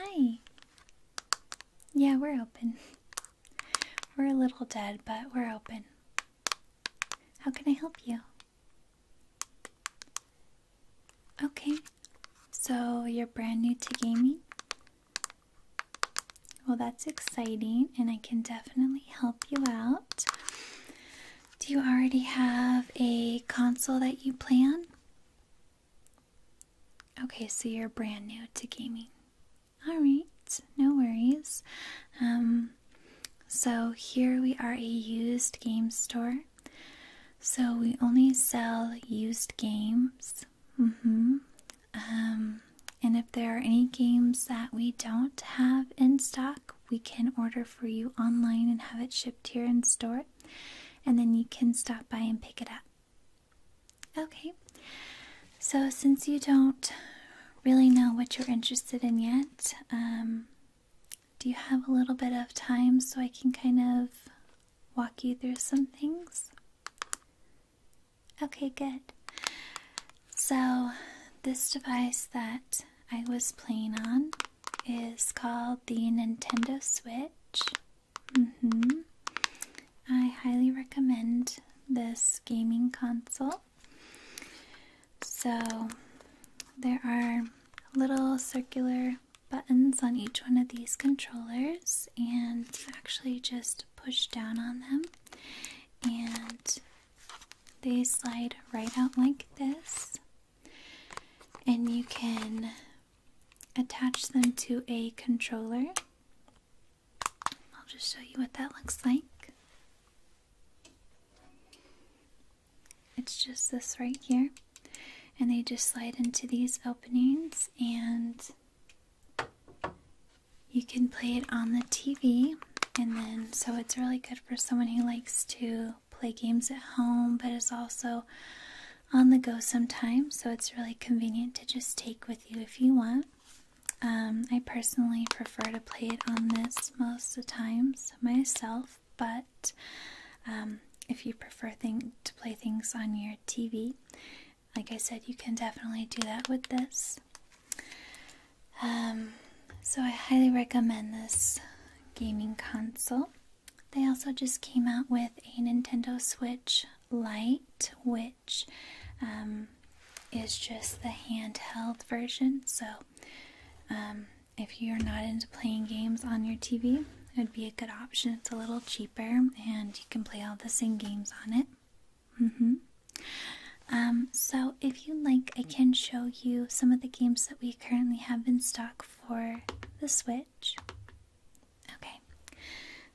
Hi. Yeah, we're open. We're a little dead, but we're open. How can I help you? Okay, so you're brand new to gaming? Well, that's exciting, and I can definitely help you out. Do you already have a console that you play on? Okay, so you're brand new to gaming. All right, no worries. Um, so here we are a used game store. So we only sell used games. Mm-hmm. Um, and if there are any games that we don't have in stock, we can order for you online and have it shipped here in store. And then you can stop by and pick it up. Okay, so since you don't really know what you're interested in yet, um, do you have a little bit of time so I can kind of walk you through some things? Okay, good. So, this device that I was playing on is called the Nintendo Switch. Mm -hmm. I highly recommend this gaming console. So, there are little circular buttons on each one of these controllers and actually just push down on them and they slide right out like this and you can attach them to a controller I'll just show you what that looks like it's just this right here. And they just slide into these openings, and you can play it on the TV. And then, so it's really good for someone who likes to play games at home, but is also on the go sometimes. So it's really convenient to just take with you if you want. Um, I personally prefer to play it on this most of the times myself, but um, if you prefer thing to play things on your TV, like I said, you can definitely do that with this. Um, so I highly recommend this gaming console. They also just came out with a Nintendo Switch Lite, which um, is just the handheld version. So if you're not into playing games on your TV, it would be a good option. It's a little cheaper and you can play all the same games on it. Mm-hmm. Um, so if you like, I can show you some of the games that we currently have in stock for the Switch. Okay.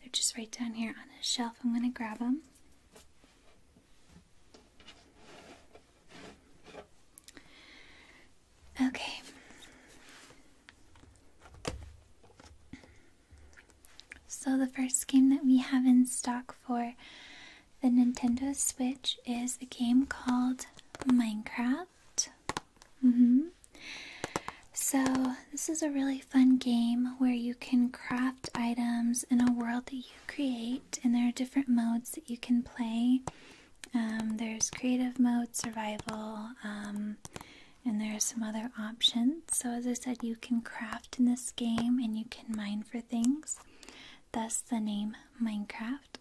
They're just right down here on the shelf. I'm going to grab them. Okay. So, the first game that we have in stock for the Nintendo Switch is a game called Minecraft. Mm-hmm. So, this is a really fun game where you can craft items in a world that you create, and there are different modes that you can play. Um, there's creative mode, survival, um, and there are some other options. So, as I said, you can craft in this game and you can mine for things, thus, the name Minecraft.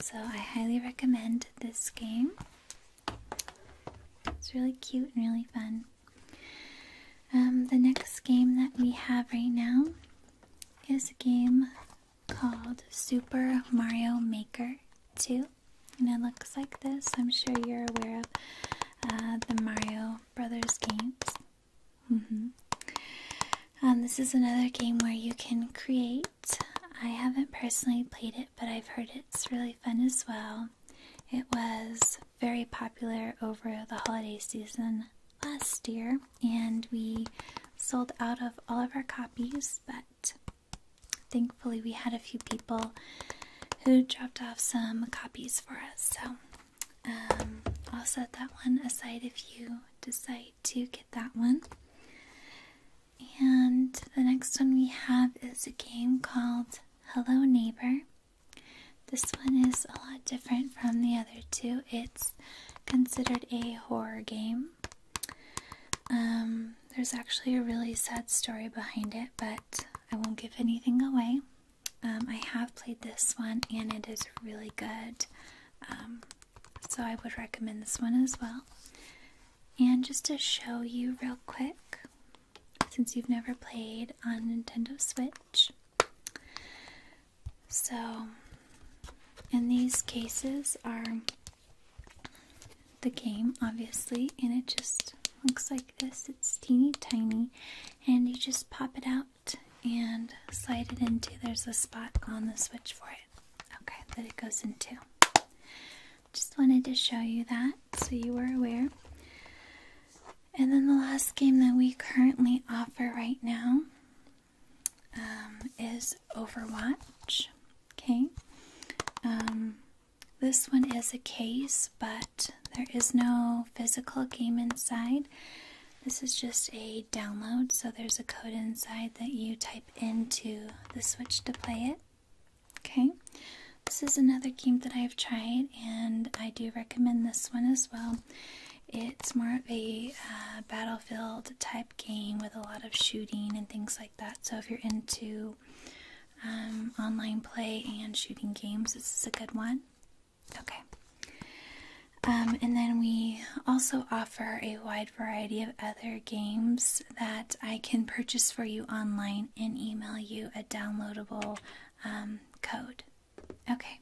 So, I highly recommend this game. It's really cute and really fun. Um, the next game that we have right now is a game called Super Mario Maker 2. And it looks like this. I'm sure you're aware of uh, the Mario Brothers games. Mm this is another game where you can create. I haven't personally played it, but I've heard it's really fun as well. It was very popular over the holiday season last year and we sold out of all of our copies, but thankfully we had a few people who dropped off some copies for us. So um, I'll set that one aside if you decide to get that one. And the next one we have is a game called Hello Neighbor. This one is a lot different from the other two. It's considered a horror game. Um, there's actually a really sad story behind it, but I won't give anything away. Um, I have played this one and it is really good. Um, so I would recommend this one as well. And just to show you real quick, since you've never played on Nintendo Switch, so, in these cases are the game, obviously, and it just looks like this. It's teeny tiny, and you just pop it out and slide it into. There's a spot on the switch for it. Okay, that it goes into. Just wanted to show you that so you were aware. And then the last game that we currently offer right now um, is Overwatch. Okay. Um, this one is a case, but there is no physical game inside. This is just a download, so there's a code inside that you type into the Switch to play it. Okay. This is another game that I've tried, and I do recommend this one as well. It's more of a uh, battlefield type game with a lot of shooting and things like that. So if you're into um, online play and shooting games, this is a good one. Okay. Um, and then we also offer a wide variety of other games that I can purchase for you online and email you a downloadable um, code. Okay.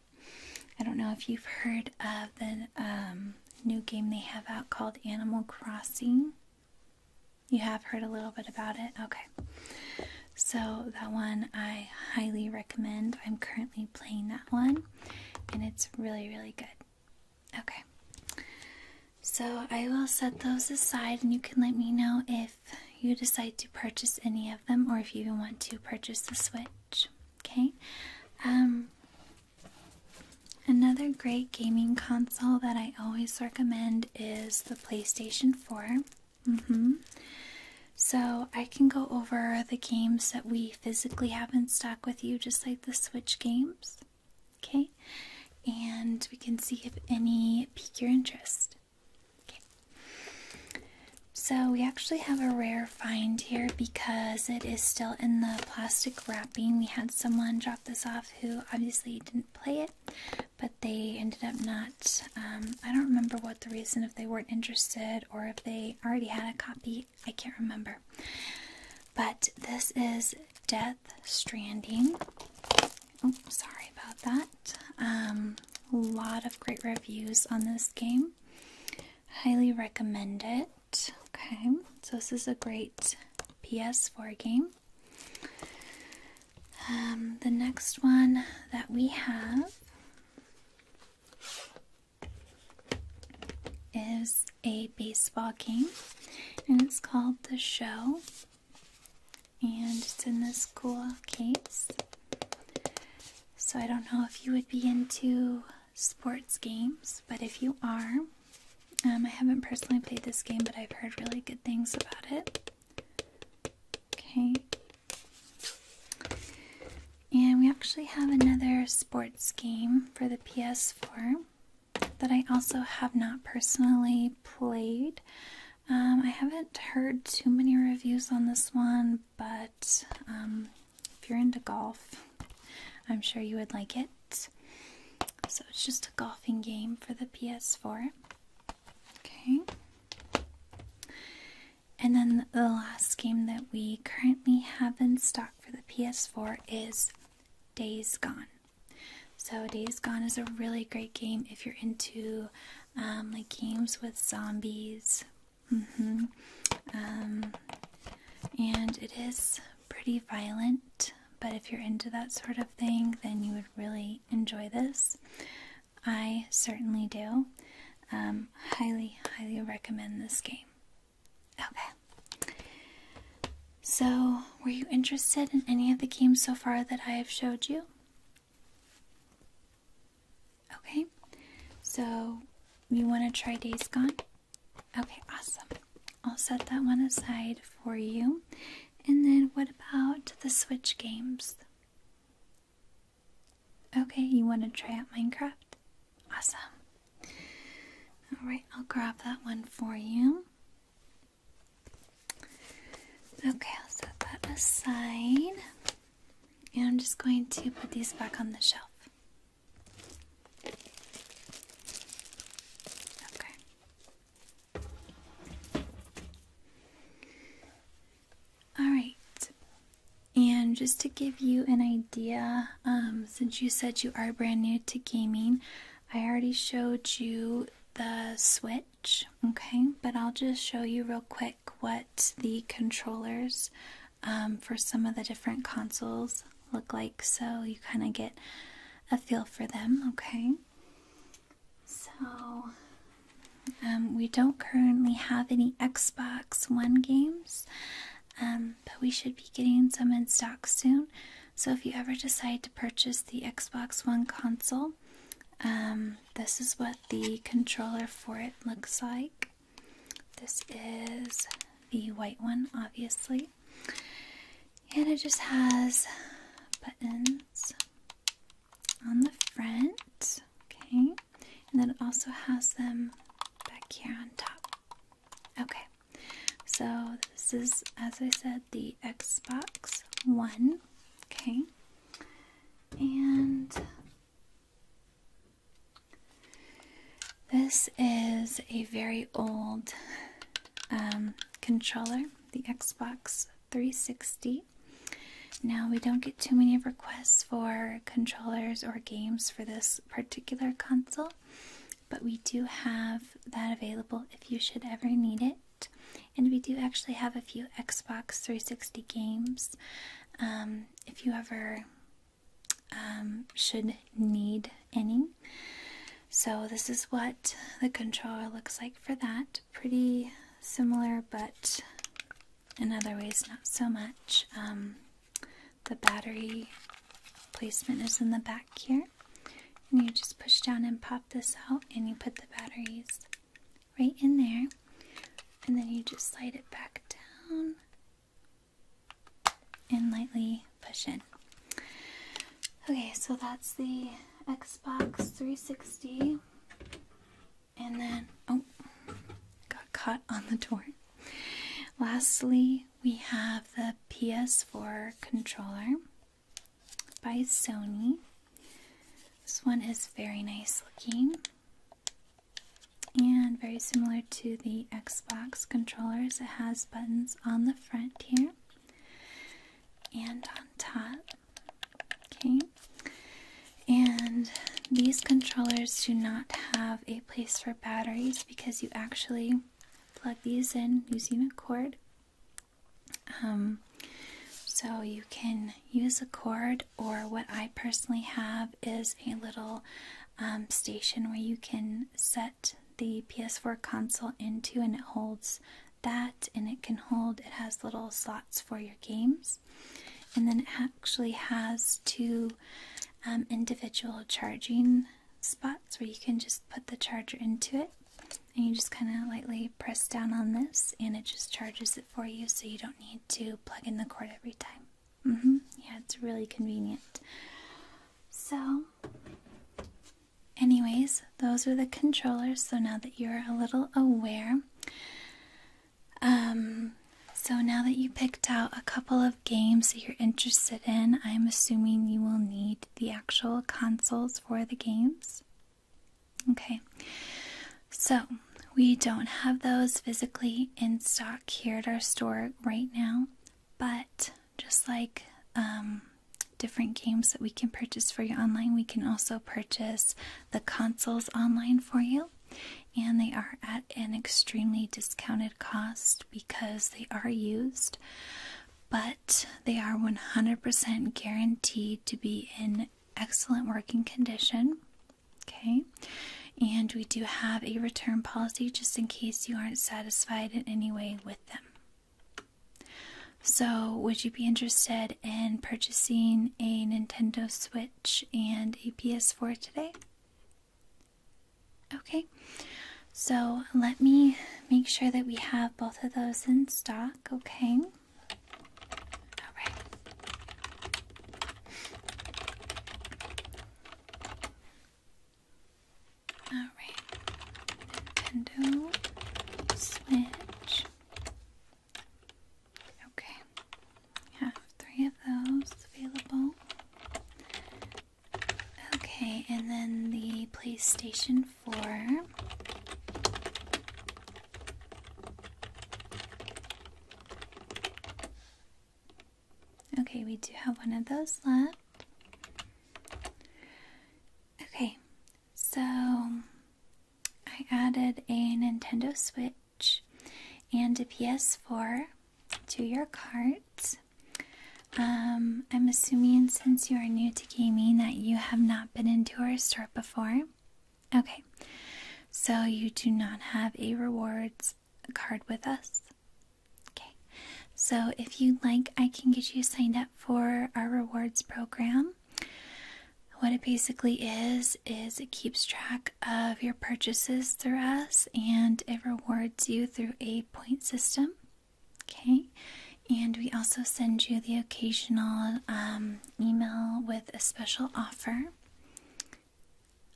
I don't know if you've heard of the um, new game they have out called Animal Crossing. You have heard a little bit about it? Okay. So, that one I highly recommend. I'm currently playing that one, and it's really, really good. Okay. So, I will set those aside, and you can let me know if you decide to purchase any of them or if you want to purchase the Switch. Okay. Um, another great gaming console that I always recommend is the PlayStation 4. Mm-hmm. So I can go over the games that we physically have in stock with you, just like the Switch games. Okay. And we can see if any pique your interest. Okay. So, we actually have a rare find here because it is still in the plastic wrapping. We had someone drop this off who obviously didn't play it, but they ended up not. Um, I don't remember what the reason, if they weren't interested or if they already had a copy. I can't remember. But this is Death Stranding. Oh, sorry about that. A um, lot of great reviews on this game. Highly recommend it. Okay, so this is a great PS4 game. Um, the next one that we have is a baseball game, and it's called The Show. And it's in this cool case. So I don't know if you would be into sports games, but if you are, um, I haven't personally played this game, but I've heard really good things about it. Okay. And we actually have another sports game for the PS4 that I also have not personally played. Um, I haven't heard too many reviews on this one, but um, if you're into golf, I'm sure you would like it. So it's just a golfing game for the PS4. Okay. And then the last game that we currently have in stock for the PS4 is Days Gone. So Days Gone is a really great game if you're into um, like games with zombies, Mm-hmm. Um, and it is pretty violent, but if you're into that sort of thing, then you would really enjoy this. I certainly do. Um, highly, highly recommend this game. Okay. So, were you interested in any of the games so far that I have showed you? Okay, so you want to try Days Gone? Okay, awesome. I'll set that one aside for you. And then what about the Switch games? Okay, you want to try out Minecraft? Awesome. Alright, I'll grab that one for you. Okay, I'll set that aside. And I'm just going to put these back on the shelf. Okay. Alright. And just to give you an idea, um, since you said you are brand new to gaming, I already showed you the Switch, okay? But I'll just show you real quick what the controllers um, for some of the different consoles look like so you kind of get a feel for them, okay? So, um, we don't currently have any Xbox One games, um, but we should be getting some in stock soon. So, if you ever decide to purchase the Xbox One console, this is what the controller for it looks like. This is the white one, obviously. And it just has buttons on the front. Okay. And then it also has them back here on top. Okay. So this is, as I said, the Xbox One. Okay. And this is a very old um, controller, the Xbox 360. Now, we don't get too many requests for controllers or games for this particular console, but we do have that available if you should ever need it. And we do actually have a few Xbox 360 games um, if you ever um, should need any. So, this is what the controller looks like for that. Pretty similar, but in other ways, not so much. Um, the battery placement is in the back here. And you just push down and pop this out, and you put the batteries right in there, and then you just slide it back down and lightly push in. Okay, so that's the Xbox 360, and then oh, got caught on the door. Lastly, we have the PS4 controller by Sony. This one is very nice looking. And very similar to the Xbox controllers, it has buttons on the front here and on top. Okay. And these controllers do not have a place for batteries because you actually plug these in using a cord. Um, so you can use a cord or what I personally have is a little um, station where you can set the PS4 console into, and it holds that, and it can hold, it has little slots for your games, and then it actually has two um, individual charging spots where you can just put the charger into it. And you just kind of lightly press down on this, and it just charges it for you so you don't need to plug in the cord every time. Mm-hmm. Yeah, it's really convenient. So, anyways, those are the controllers. So now that you're a little aware, um, so now that you picked out a couple of games that you're interested in, I'm assuming you will need the actual consoles for the games. Okay, so we don't have those physically in stock here at our store right now, but just like um, different games that we can purchase for you online, we can also purchase the consoles online for you. And they are at an extremely discounted cost because they are used, but they are 100% guaranteed to be in excellent working condition. Okay, and we do have a return policy just in case you aren't satisfied in any way with them. So, would you be interested in purchasing a Nintendo Switch and a PS4 today? Okay, so let me make sure that we have both of those in stock, okay? All right. All right. Nintendo Switch. Okay. We have three of those available. Okay, and then the PlayStation one Okay, we do have one of those left. Okay, so I added a Nintendo Switch and a PS4 to your cart. Um, I'm assuming since you are new to gaming that you have not been into our store before. Okay, so you do not have a rewards card with us. Okay, so if you'd like, I can get you signed up for our rewards program. What it basically is, is it keeps track of your purchases through us and it rewards you through a point system. Okay, and we also send you the occasional um, email with a special offer.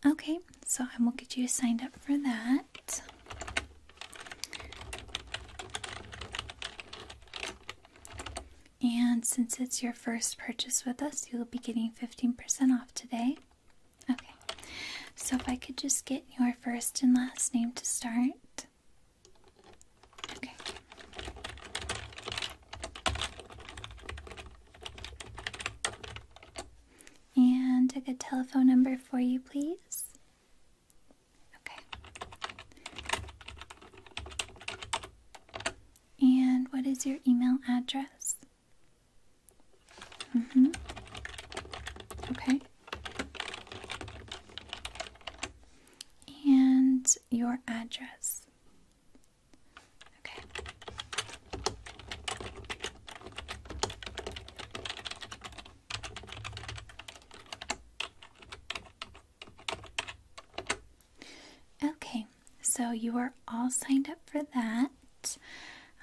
Okay, so I will get you signed up for that. And since it's your first purchase with us, you'll be getting 15% off today. Okay, so if I could just get your first and last name to start. And a good telephone number for you, please. Okay. And what is your email address? Mm hmm. Okay. And your address. Okay. Okay, so you are all signed up for that.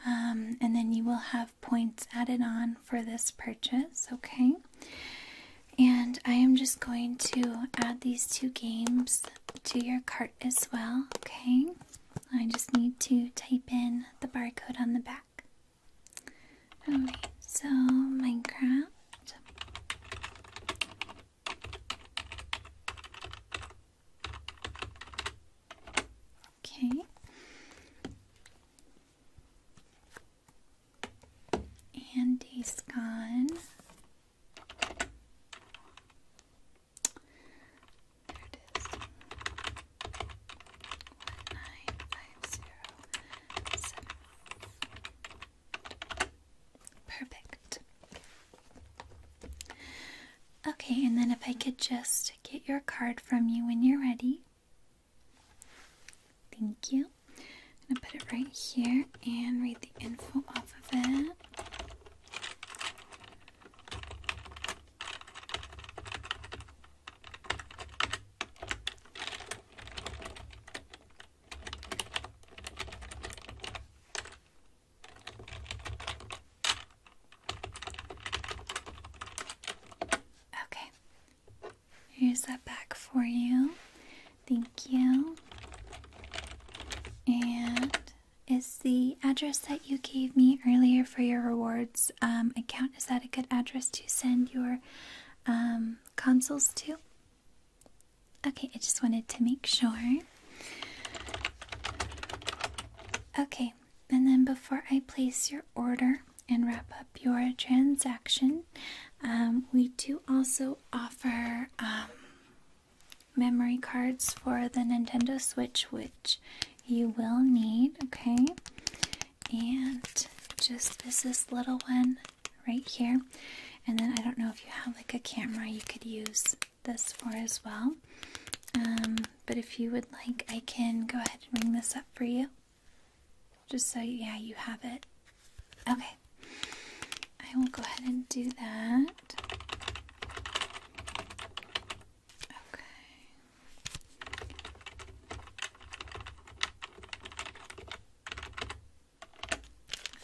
Um, and then you will have points added on for this purchase, okay? And I am just going to add these two games to your cart as well, okay? I just need to type in the barcode on the back. Okay, so Minecraft. Okay. And days There it is. One nine five zero seven. Perfect. Okay, and then if I could just get your card from you when you're ready. Thank you. I'm going to put it right here and read the info off of it. Okay, Here's that back for you. Thank you. And is the address that you gave me earlier for your rewards um, account is that a good address to send your um, consoles to? Okay, I just wanted to make sure. Okay, and then before I place your order, and wrap up your transaction. Um, we do also offer um, memory cards for the Nintendo Switch, which you will need, okay? And just this little one right here. And then I don't know if you have like a camera you could use this for as well. Um, but if you would like, I can go ahead and ring this up for you. Just so, yeah, you have it. Okay. I will go ahead and do that. Okay.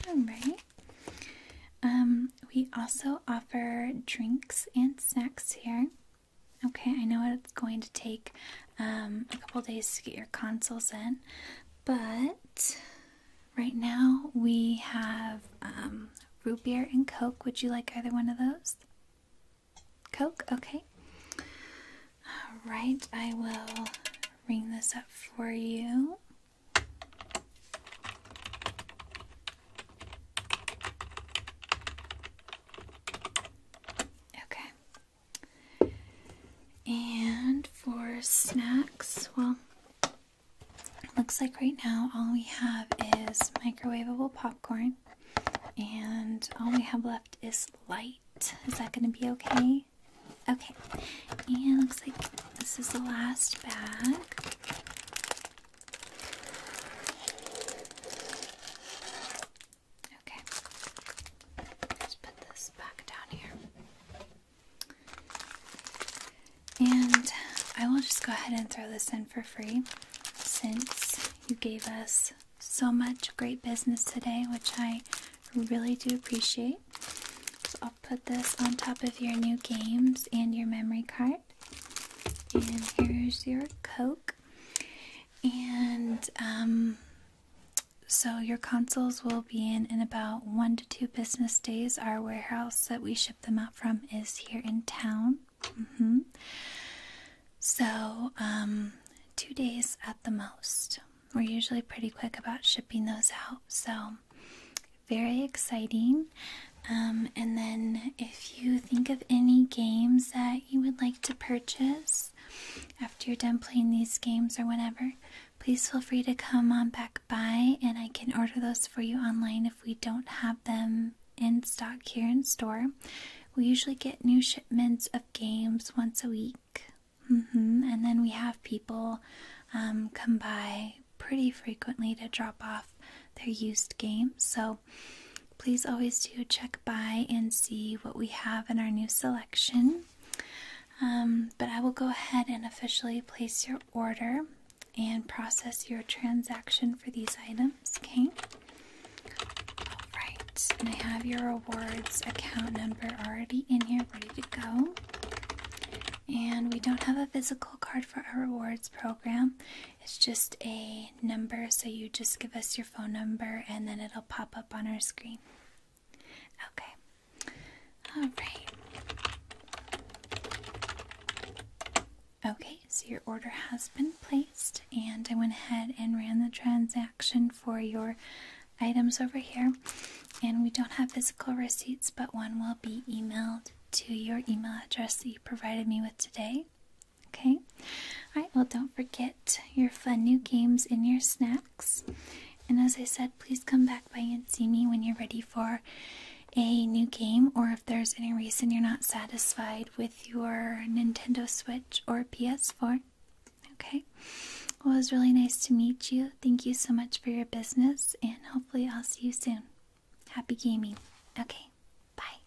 All right. Um, we also offer drinks and snacks here. Okay, I know it's going to take um, a couple days to get your consoles in, but right now we have um, root beer and Coke. Would you like either one of those? Coke? Okay. All right, I will ring this up for you. Okay. And for snacks, well, looks like right now all we have is microwavable popcorn, and all we have left is light. Is that going to be okay? Okay, and looks like this is the last bag. Okay, let put this back down here. And I will just go ahead and throw this in for free since you gave us so much great business today, which I really do appreciate. So I'll put this on top of your new games and your memory card. And here's your Coke and um, so your consoles will be in in about one to two business days. Our warehouse that we ship them out from is here in town. Mm-hmm. So, um, two days at the most. We're usually pretty quick about shipping those out. So, very exciting. Um, and then, if you think of any games that you would like to purchase, after you're done playing these games or whatever, please feel free to come on back by and I can order those for you online if we don't have them in stock here in store. We usually get new shipments of games once a week. Mm-hmm. And then we have people um, come by pretty frequently to drop off their used games. So Please always do check by and see what we have in our new selection. Um, but I will go ahead and officially place your order and process your transaction for these items, okay? All right, I have your rewards account number already in here, ready to go. And we don't have a physical card for our rewards program. It's just a number, so you just give us your phone number and then it'll pop up on our screen. Okay. All right. Okay, so your order has been placed, and I went ahead and ran the transaction for your items over here. And we don't have physical receipts, but one will be emailed to your email address that you provided me with today. Okay? Alright, well, don't forget your fun new games in your snacks. And as I said, please come back by and see me when you're ready for a new game, or if there's any reason you're not satisfied with your Nintendo Switch or PS4. Okay? Well, it was really nice to meet you. Thank you so much for your business, and hopefully, I'll see you soon. Happy gaming. Okay, bye.